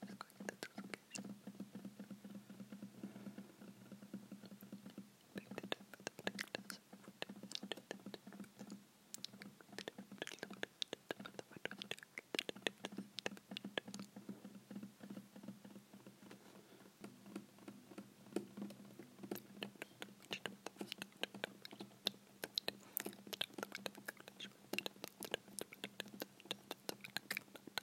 I'm going to focus. Thank you.